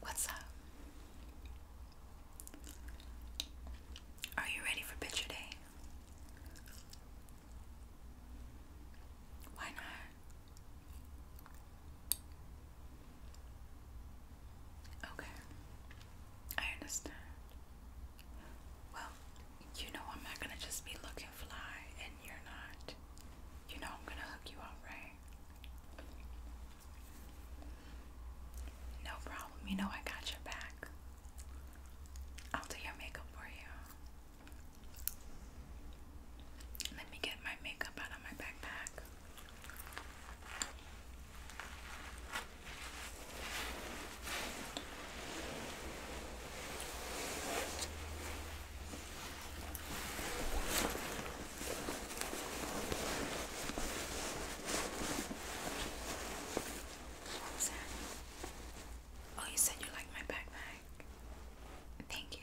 What's up? Are you ready for picture day? Why not? Okay, I understand. Well, you know I'm not gonna just be looking fly and you're not. You know I'm gonna hook you up, right? No problem. You know I got your back. I'll do your makeup for you. Let me get my makeup out of my backpack. Oh, you said you like my backpack. Thank you.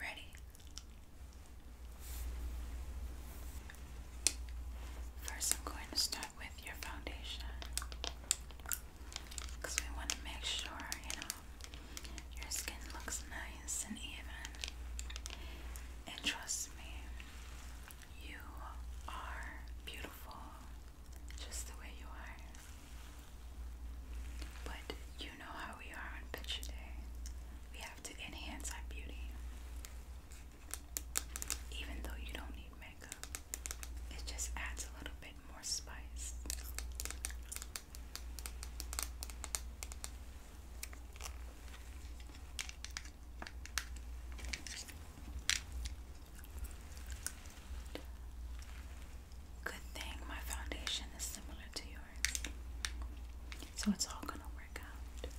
Ready? First, I'm going to start with your foundation because we want to make sure, you know, your skin looks nice and even. And trust me, you are beautiful just the way you are. But you know how we are on picture day. We have to enhance our beauty. Even though you don't need makeup, it just adds a little bit more spice. Good thing my foundation is similar to yours. So it's all going to work out.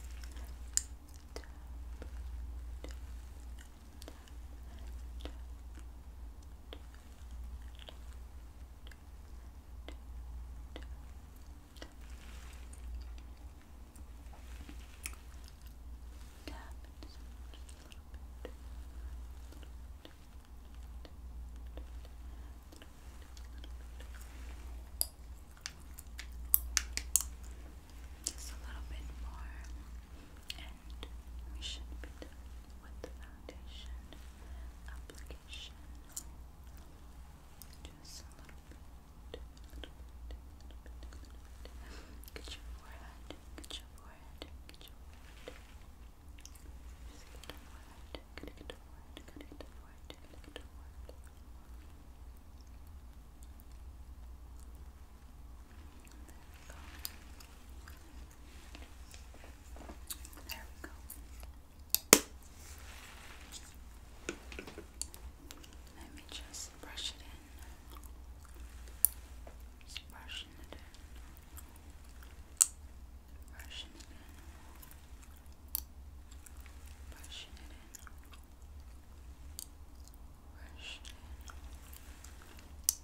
Just a little bit more, and we should be done with the foundation application. Just a little bit, a little bit, a little bit, Get your forehead, get your forehead, get your forehead. Just get the forehead, get it, forehead, get it, forehead, get it, forehead. There we go. There we go. Let me just brush it in. Just brushing it in. Brushing it in. Brushing it in. Brushing it in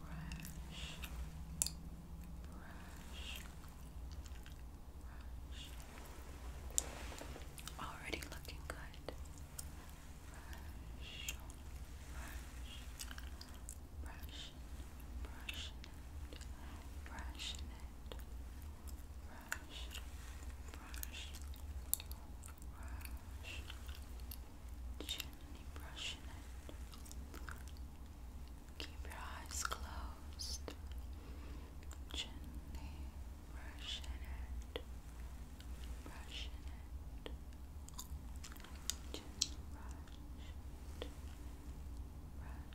brush. Already looking good. Brush, brush, brushing, brushing it, brushing it, brush, brush, brush, brush, gently brushing it. Keep your eyes closed, gently brushing it, brushing it, gently brush brush brush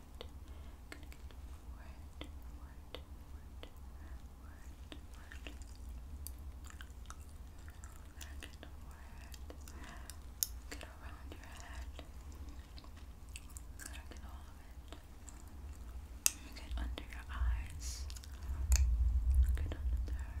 word. get around your head. get You under your eyes. Get under there.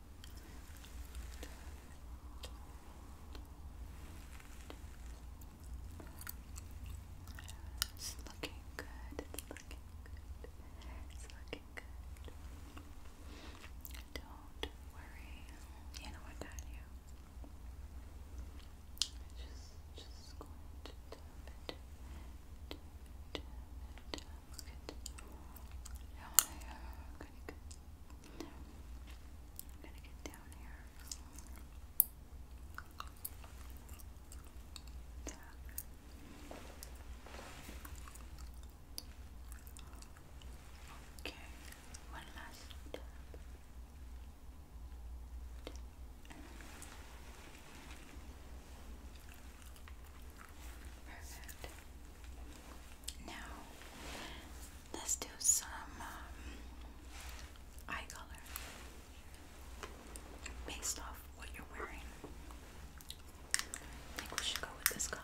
It's looking good. It's looking good. It's looking good. Don't worry. You know what, got you. i just, just going good. Down here. i I'm gonna get down here. Okay, one last Perfect. Now, let's do some um, eye color based off what you're wearing. I think we should go with this color.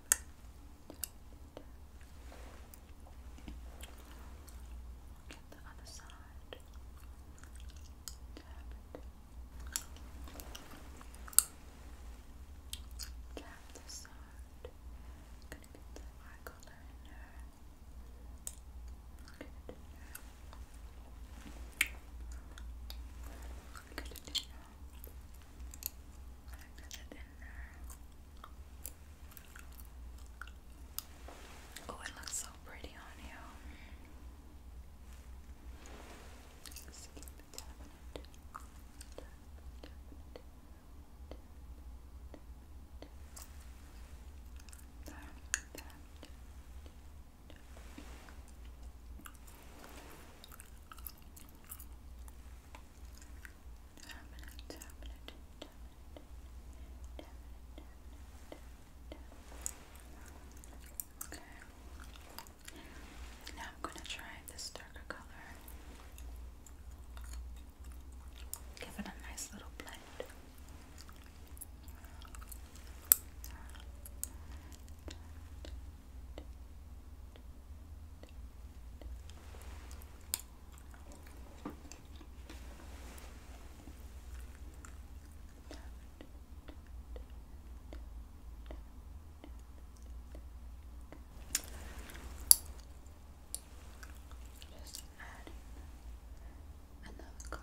Get the other side. Tap it. Tap this side. gonna get the color in there. Get it Put Oh, it looks so pretty on you. Okay. Now I'm going to try this darker color. Give it a nice little blend. Just adding another color.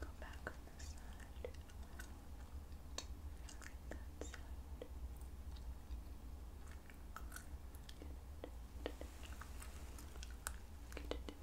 Go back on this side. That side. Get it. Get it in there. Get it. Good. Good. Good. Good.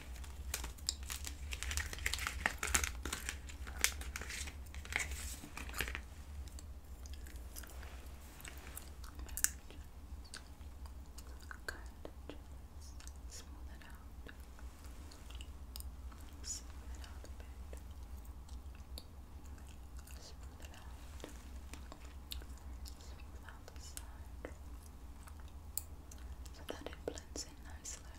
smooth it out. Smooth it out a bit. Smooth it out. Smooth out the side. So that it blends in nicely.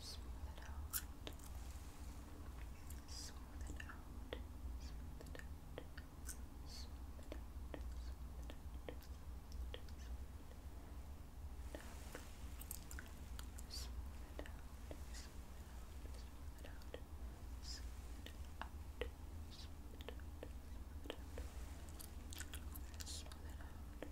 Smooth it out. Smooth it out. Smooth it out. Smooth it out. Smooth it out. Smooth it out. Smooth it out. Smooth it out. Smooth it out. Smooth it out. Smooth it out. Smooth it out. Smooth it out.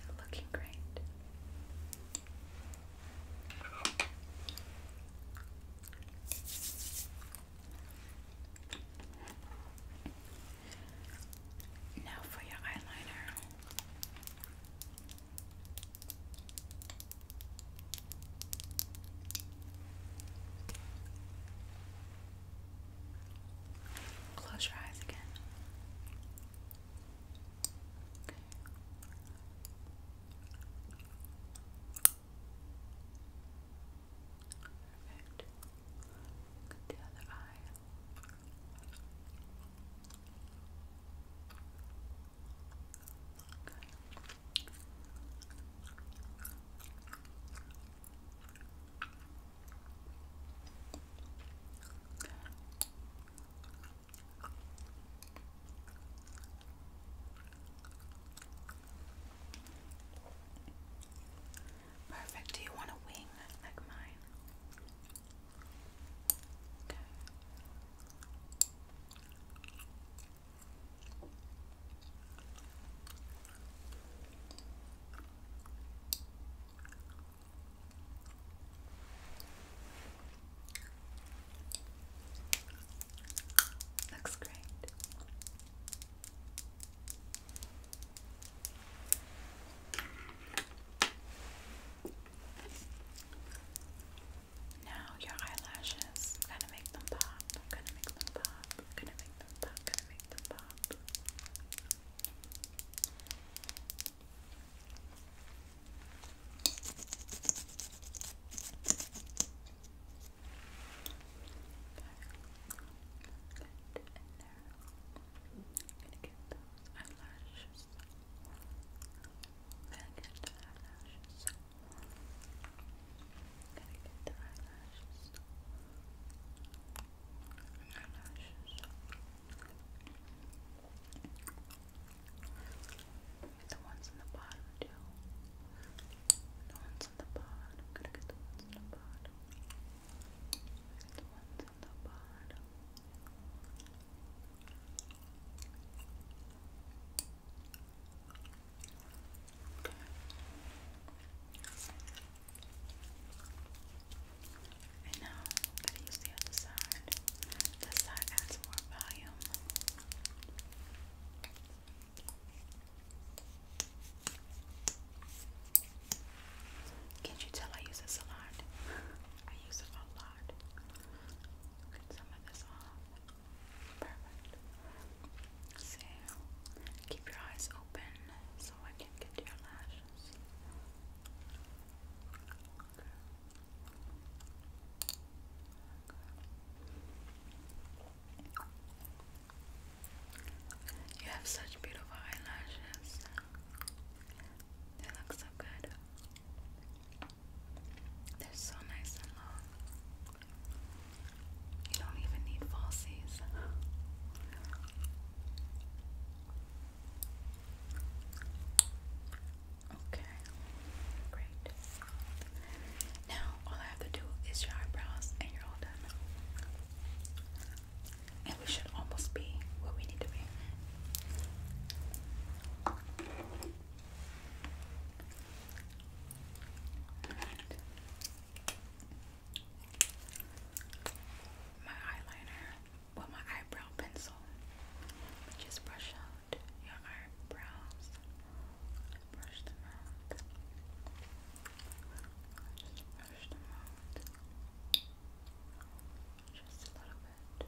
They're looking great. Now for your eyeliner. Close your eyes again. Okay. the other eye. Perfect. Do you want a wing like mine? Okay. Looks great. Now your eyelashes. I'm gonna make them pop. I'm gonna make them pop. I'm gonna make them pop. I'm gonna make them pop. Good. And now I'm gonna get those eyelashes Gotta get the eyelashes. Gotta get the eyelashes. Eyelashes. The ones in the bottom too. The ones in the bottom. Gotta get the ones in the bottom. Get the ones in the bottom. Okay. And now i use the other side. This side adds more volume. Can't you tell I use a lot? I use it a lot get some of this off. Perfect. So, keep your eyes open so I can get your lashes. You have such beautiful eyelashes. They look so good. They're so nice and long. You don't even need falsies. Okay, great. Now all I have to do is your eyebrows, and you're all done. And we should almost be where we need to be my eyeliner, well, my eyebrow pencil, just brush out your eyebrows, brush them out, just brush them out, just a little bit. Good.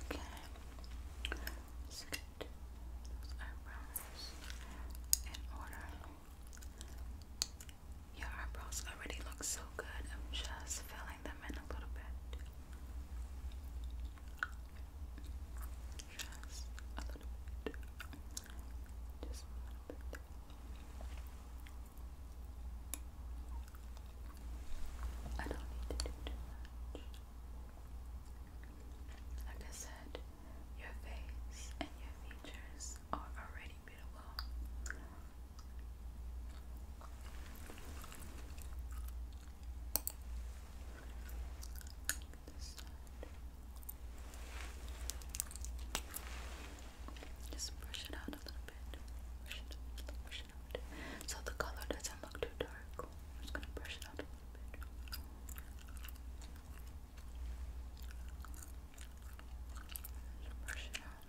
Okay. Okay. let those eyebrows in order. Your eyebrows already look so good. I'm just filling them in a little bit. Just a little bit. Just a little bit. I don't need to do too much. Like I said, your face and your features are already beautiful. Just brush it out a little bit. Brush it out, brush it out. So the color doesn't look too dark. I'm just gonna brush it out a little bit. brush it out.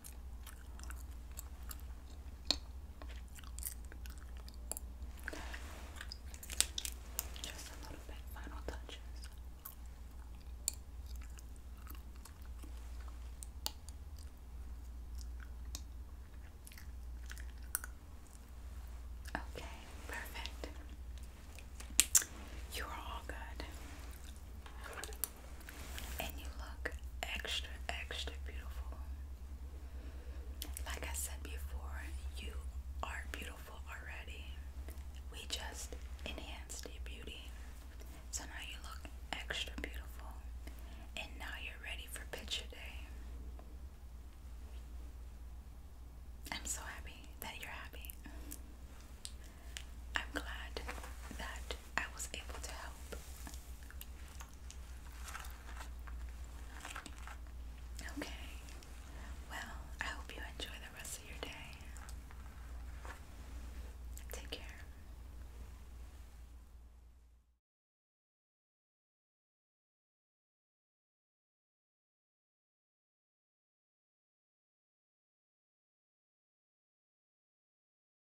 Just a little bit, final touches. Okay, perfect. You are all good and you look extra, extra beautiful. Like I said before, you are beautiful already. We just enhanced your beauty. So now you look extra beautiful. And now you're ready for picture day. I'm so happy that you're happy. I'm glad that I was able to help. Okay. Well, I hope you enjoy the rest of your day. Take care.